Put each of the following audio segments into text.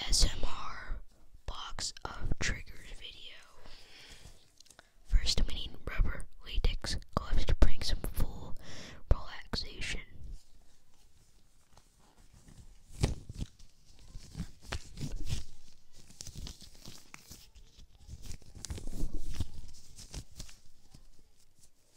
ASMR box of triggers video. First, we need rubber latex gloves to bring some full relaxation.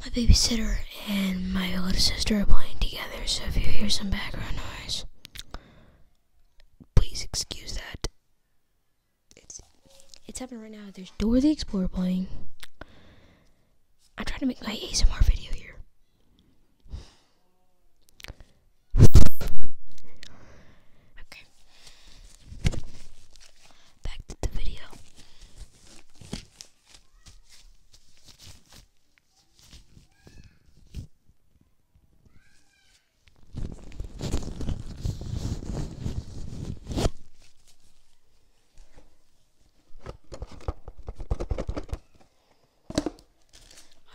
My babysitter and my little sister are playing together, so if you hear some background noise, please excuse that. It's, it's happening right now. There's Dora the Explorer playing. I'm trying to make my ASMR video here.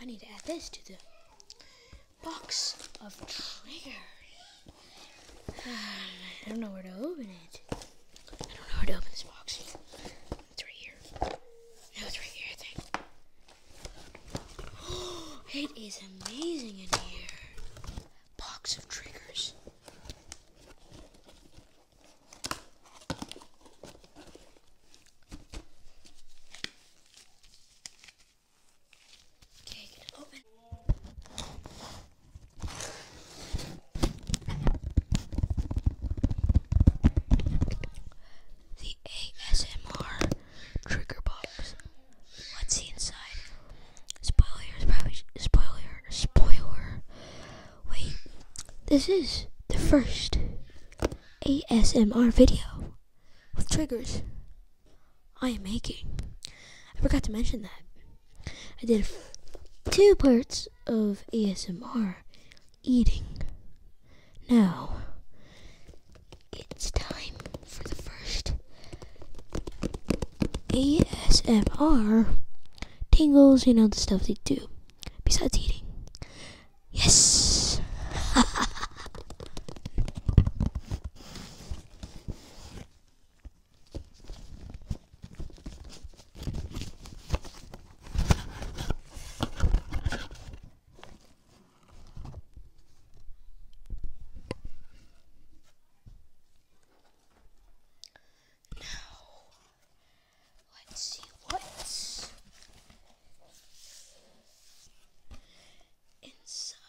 I need to add this to the box of triggers. I don't know where to open it. I don't know where to open this box. It's right here. No, it's right here, it is amazing in here. Box of triggers. Okay, open. The ASMR trigger box. What's inside? Spoiler, spoiler, spoiler. Wait, this is the first ASMR video with triggers I am making. I forgot to mention that. I did two parts of ASMR eating. Now, it's time for the first ASMR tingles, you know, the stuff they do besides eating. Yes! Now, let's see what's inside.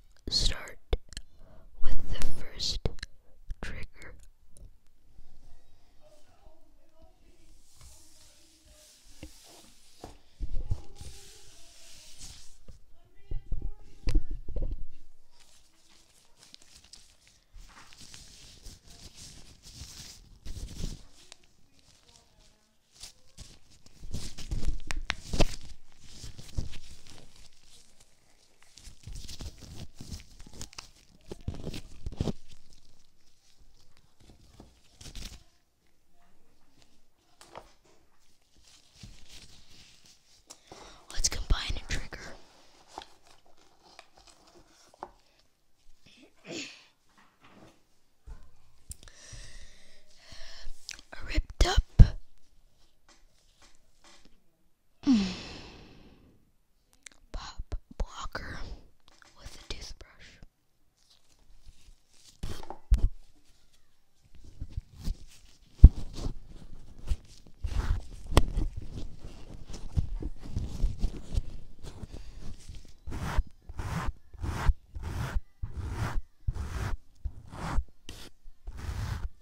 start with the first trigger. Let's combine a trigger. Ripped up Pop blocker with a toothbrush.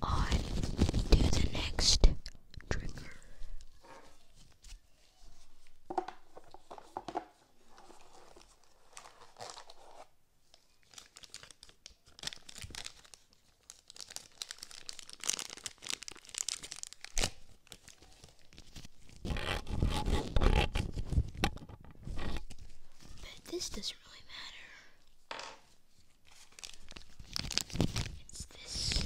On to the next trigger. But this doesn't really matter. It's this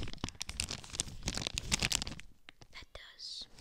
that does.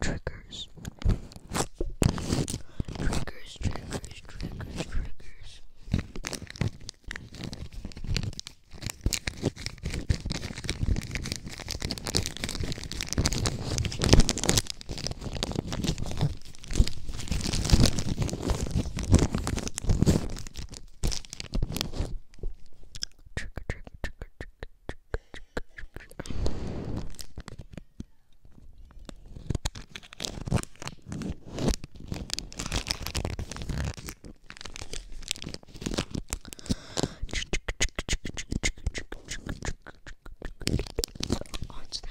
triggers. Triggers, triggers, triggers, triggers. Trigger, trigger, trigger, trigger, on to the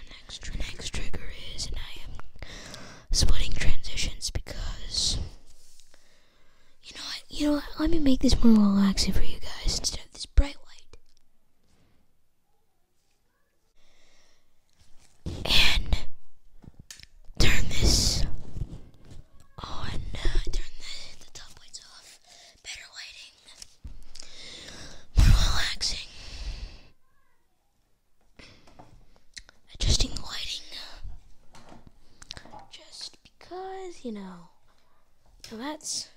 next, the next trigger is, and I am splitting transitions because you know what? You know what? Let me make this more relaxing for you guys instead of this bright light and turn this on. Turn the, top lights off. Better lighting, more relaxing. Adjusting the lighting just because, you know, so that's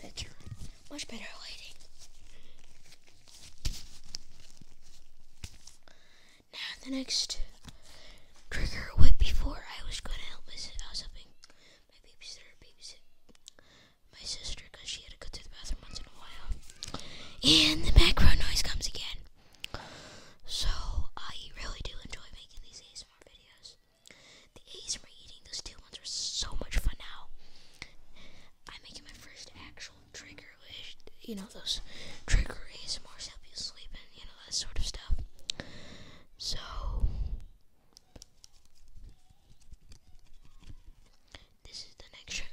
better. Much better lighting. Now the next trigger would before I was going to help my I was helping my babysitter babysit my sister because she had to go to the bathroom once in a while. And the background noise comes again. So I really do enjoy making these ASMR videos. The A's are eating those two ones are so much fun now. I'm making my first actual trigger, wish, you know, those trigger ASMRs help you sleep and, you know, that sort of stuff. So, this is the next trigger.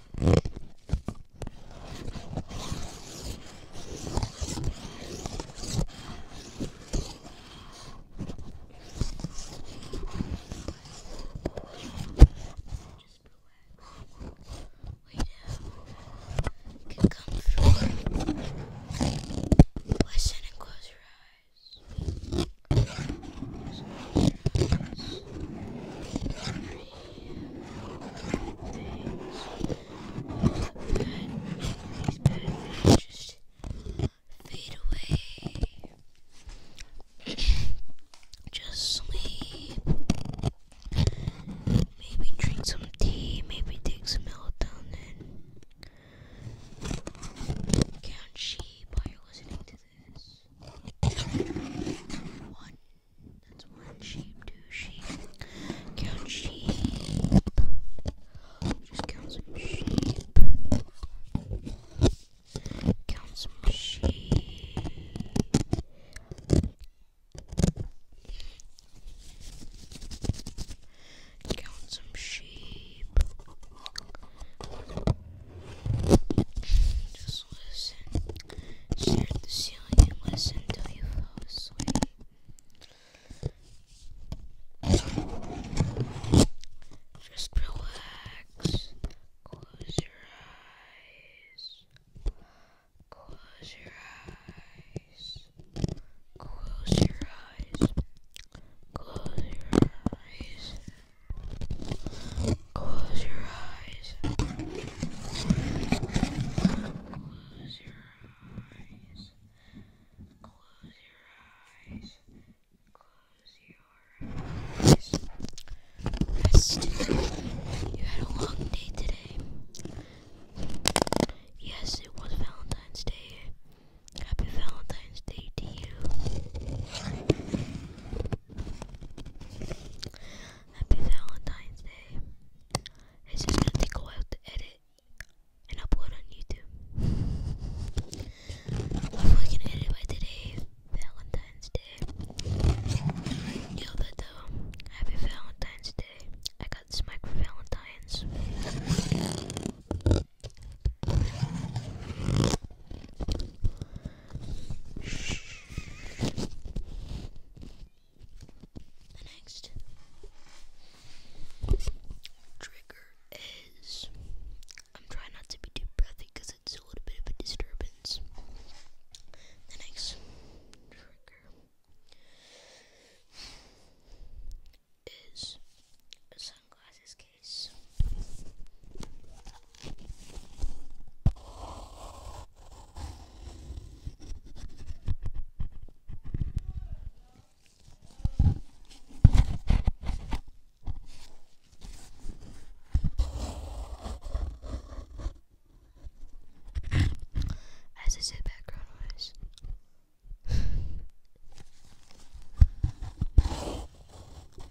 Get comfortable. Listen and close your eyes just fade away. just sleep. Maybe drink some tea, maybe take some melatonin. Count sheep while you're listening to this. One. That's one sheep, two sheep. Count sheep. Just count some sheep. Count some sheep. Count some sheep. Just listen. Stare the ceiling and listen till you fall asleep. Just relax. Close your eyes. Close your eyes. Close your eyes. Close your eyes. Close your eyes. Close your eyes. Close your eyes. Close your eyes. Rest. You had a long day today. Yes, it was Valentine's Day. Happy Valentine's Day to you. Happy Valentine's Day. It's just gonna take a to edit and upload on YouTube. Hopefully, can edit by today, Valentine's Day. You know that though. Happy Valentine's Day. I got this mic for Valentine's. The next trigger is I'm trying not to be too breathy because it's a little bit of a disturbance. The next trigger is sunglasses as I said, background noise.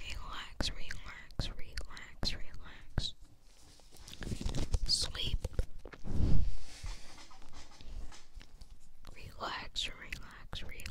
Relax, relax, relax, relax. Sleep. Relax, relax, relax, relax.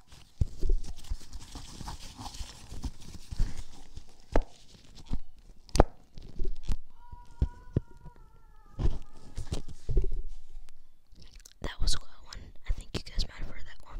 That was a good one. I think you guys might have heard that one.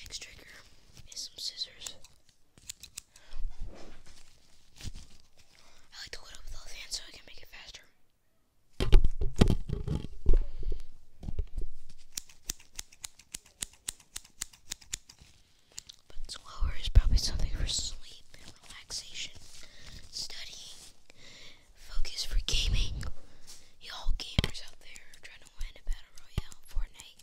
Next trigger is some scissors. I like to load up with all the hands so I can make it faster. But slower is probably something for sleep and relaxation, studying, focus for gaming. Y'all gamers out there trying to win a battle royale, Fortnite.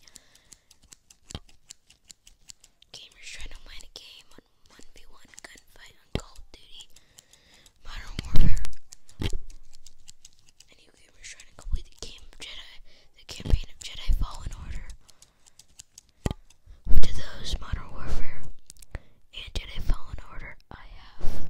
Gamers trying to win a game on 1v1 gunfight on Call of Duty. Modern Warfare. And you gamers trying to complete the game of Jedi, the campaign of Jedi Fallen Order. To those Modern Warfare and Jedi Fallen Order, I have.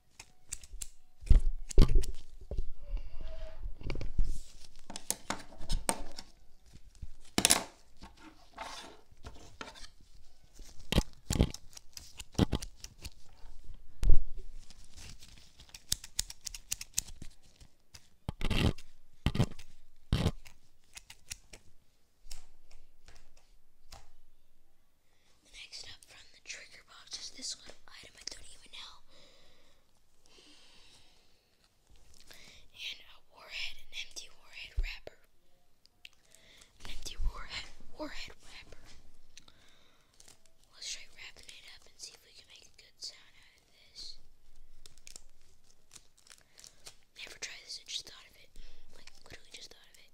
The next up from Trigger box is this little item I don't even know. And a warhead, an empty warhead wrapper. An empty warhead warhead wrapper. Let's try wrapping it up and see if we can make a good sound out of this. Never tried this, I just thought of it. Like literally just thought of it.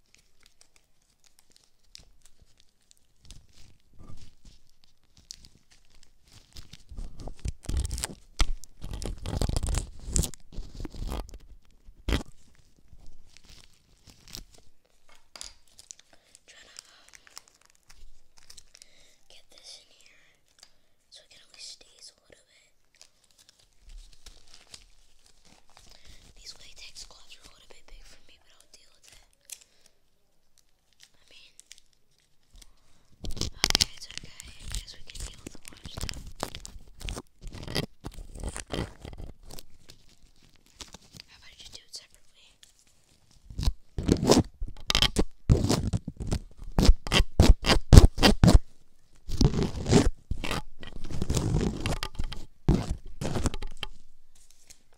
Trying to um, get this in here so it can at least stays a little bit. These latex gloves are a little bit big for me, but I'll deal with it. I mean, okay, it's okay. I guess we can deal with the water stuff. How about you do it separately?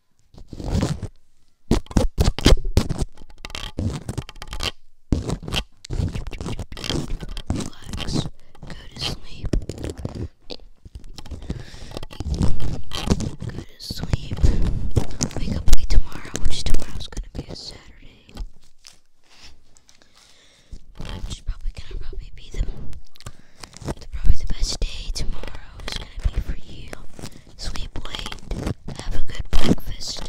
Go to sleep. Go to sleep. Wake up late tomorrow, which tomorrow's gonna be a Saturday. Which probably gonna probably be the probably the best day tomorrow is gonna be for you. Sleep late. Have a good breakfast.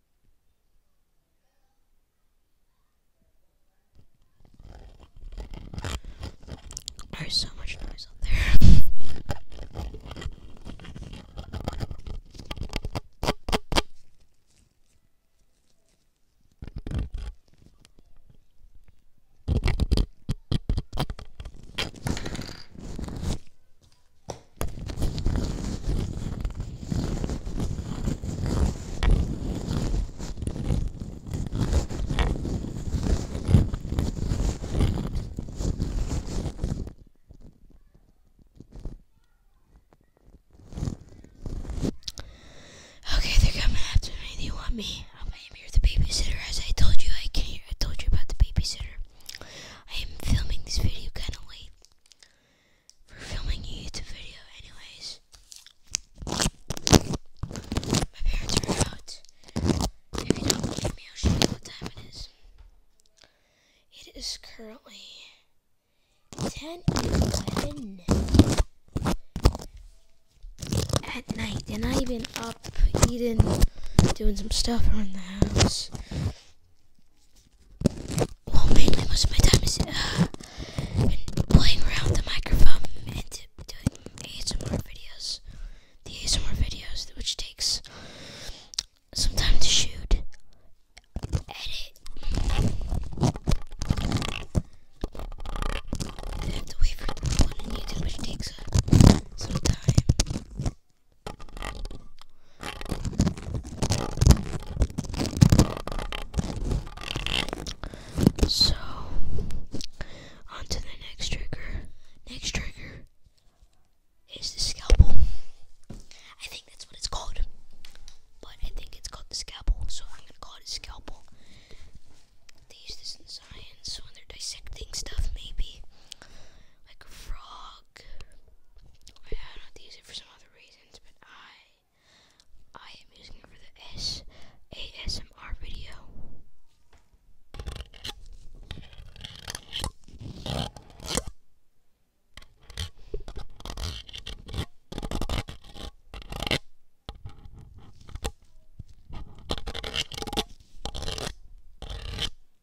There's so much noise out there. Okay, they're coming after me. They want me. I am here, the babysitter. As I told you, I can't. I told you about the babysitter. I am filming this video kind of late for filming a YouTube video anyways. My parents are out. If you not believe me, I'll show you what time it is. It is currently 10 at night, and I've been up eating, doing some stuff around the house well, mainly most of my time is uh, playing around with the microphone and doing ASMR videos. The ASMR videos, which takes some time to shoot, edit. I have to wait for the one on YouTube, which takes uh, some time. So, on to the next trigger. Next trigger is the scalpel. I think that's what it's called. But I think it's called the scalpel, so I'm gonna call it a scalpel. They use this in science when they're dissecting stuff, maybe. Like a frog I don't use it for some other reasons, but I I am using it for the S ASMR video.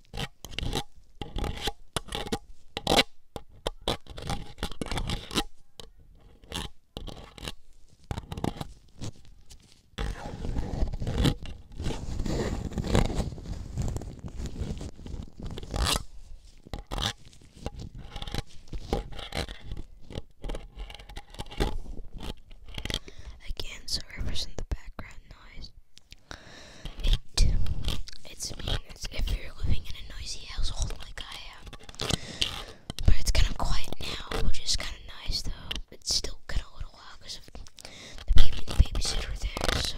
Again, sorry for some of the background noise. It, it's mean it's if you're living in a noisy household like I am. But it's kind of quiet now, which is kind of nice though. It's still kind of a little loud because of the baby and the babysitter there, so.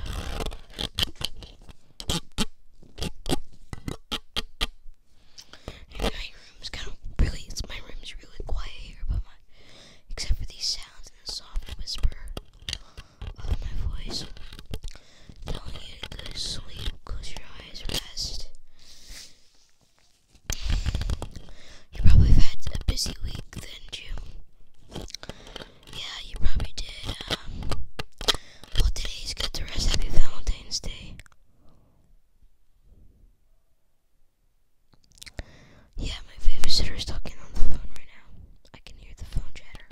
my room's kind of really, it's, my room's really quiet here, but my, except for these sounds, in a soft whisper of my voice, telling you to go to sleep, close your eyes, rest. You probably had a busy week, didn't you? Yeah, you probably did. Um, well, today's good to rest. Happy Valentine's Day. Yeah, my babysitter is talking on the phone right now. I can hear the phone chatter.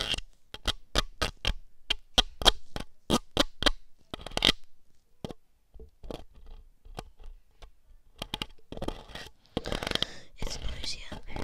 It's noisy out there.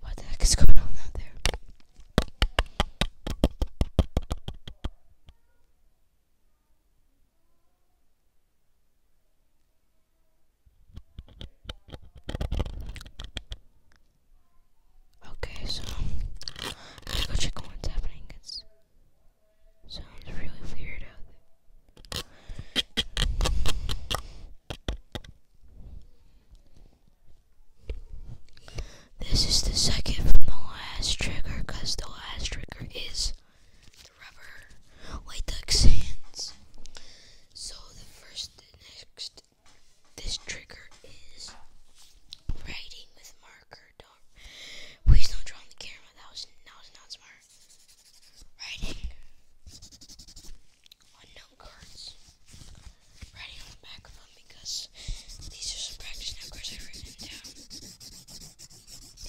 What the heck is going on out there? Okay, so let's go check what's happening. It sounds really weird this is the second from the last trigger because the last trigger is the rubber white duck's hands. So the first, the next, this trigger is writing with marker. Don't, please don't draw on the camera. That was, that was not smart. Writing on cards, writing on the back of them because these are some practice cards I've them down,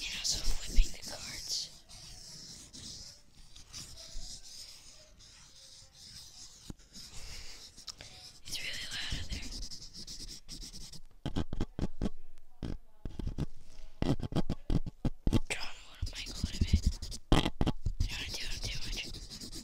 and also flipping the cards. It's really loud out there. Drawing a mic a bit. I to do it too much.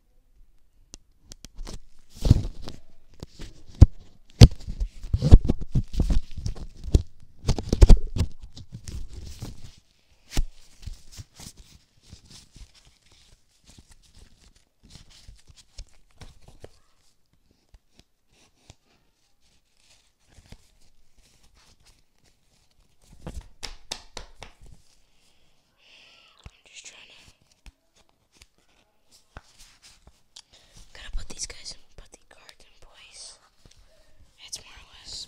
I'm just trying to Gotta put these guys in the garden, boys. That's more or less.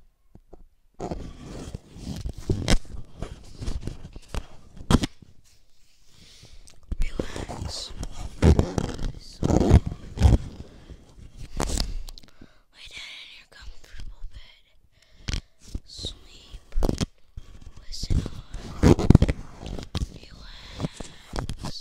Relax. So, lay down in your comfortable bed. Sleep. Listen on. Relax.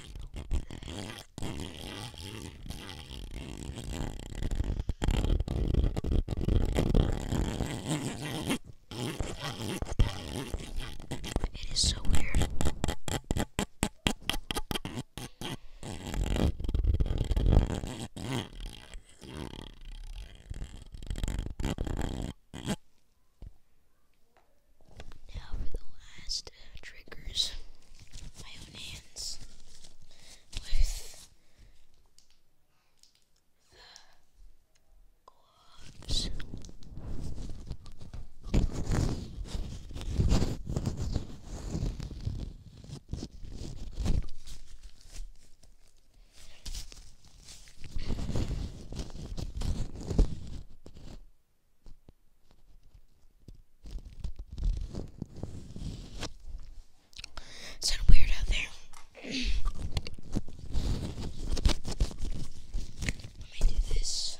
It is so weird. Now for the last uh, triggers, my own hands with uh, gloves. It's kind of weird out there. Let me do this.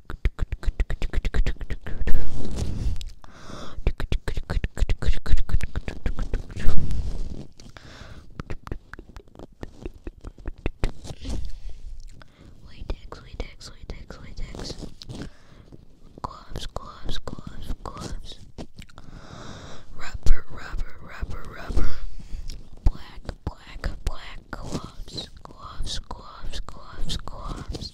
Witex, Witex, Witex, Witex. Gloves, gloves, gloves, gloves. Rubber, rubber, rubber, rubber. Black, black, black gloves. Gloves, gloves, gloves, gloves.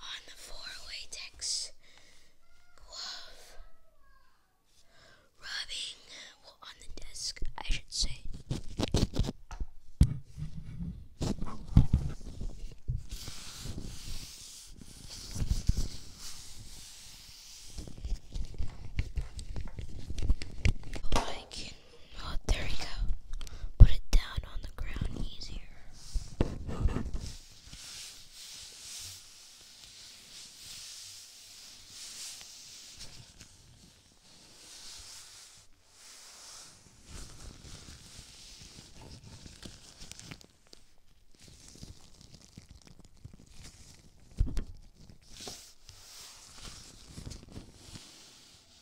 on the four-way text glove rubbing on the desk, I should say. Oh, Oh, there we go. Put it down on the ground easier.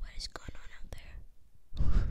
What is going on out there?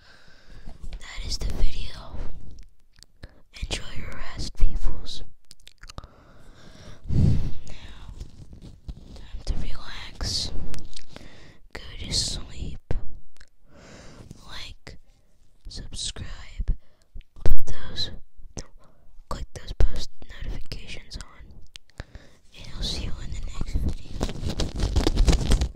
that is the video. Enjoy your rest, peoples. Now, time to relax. Go to sleep. Like, subscribe, put those, click those post notifications on, and I'll see you in the next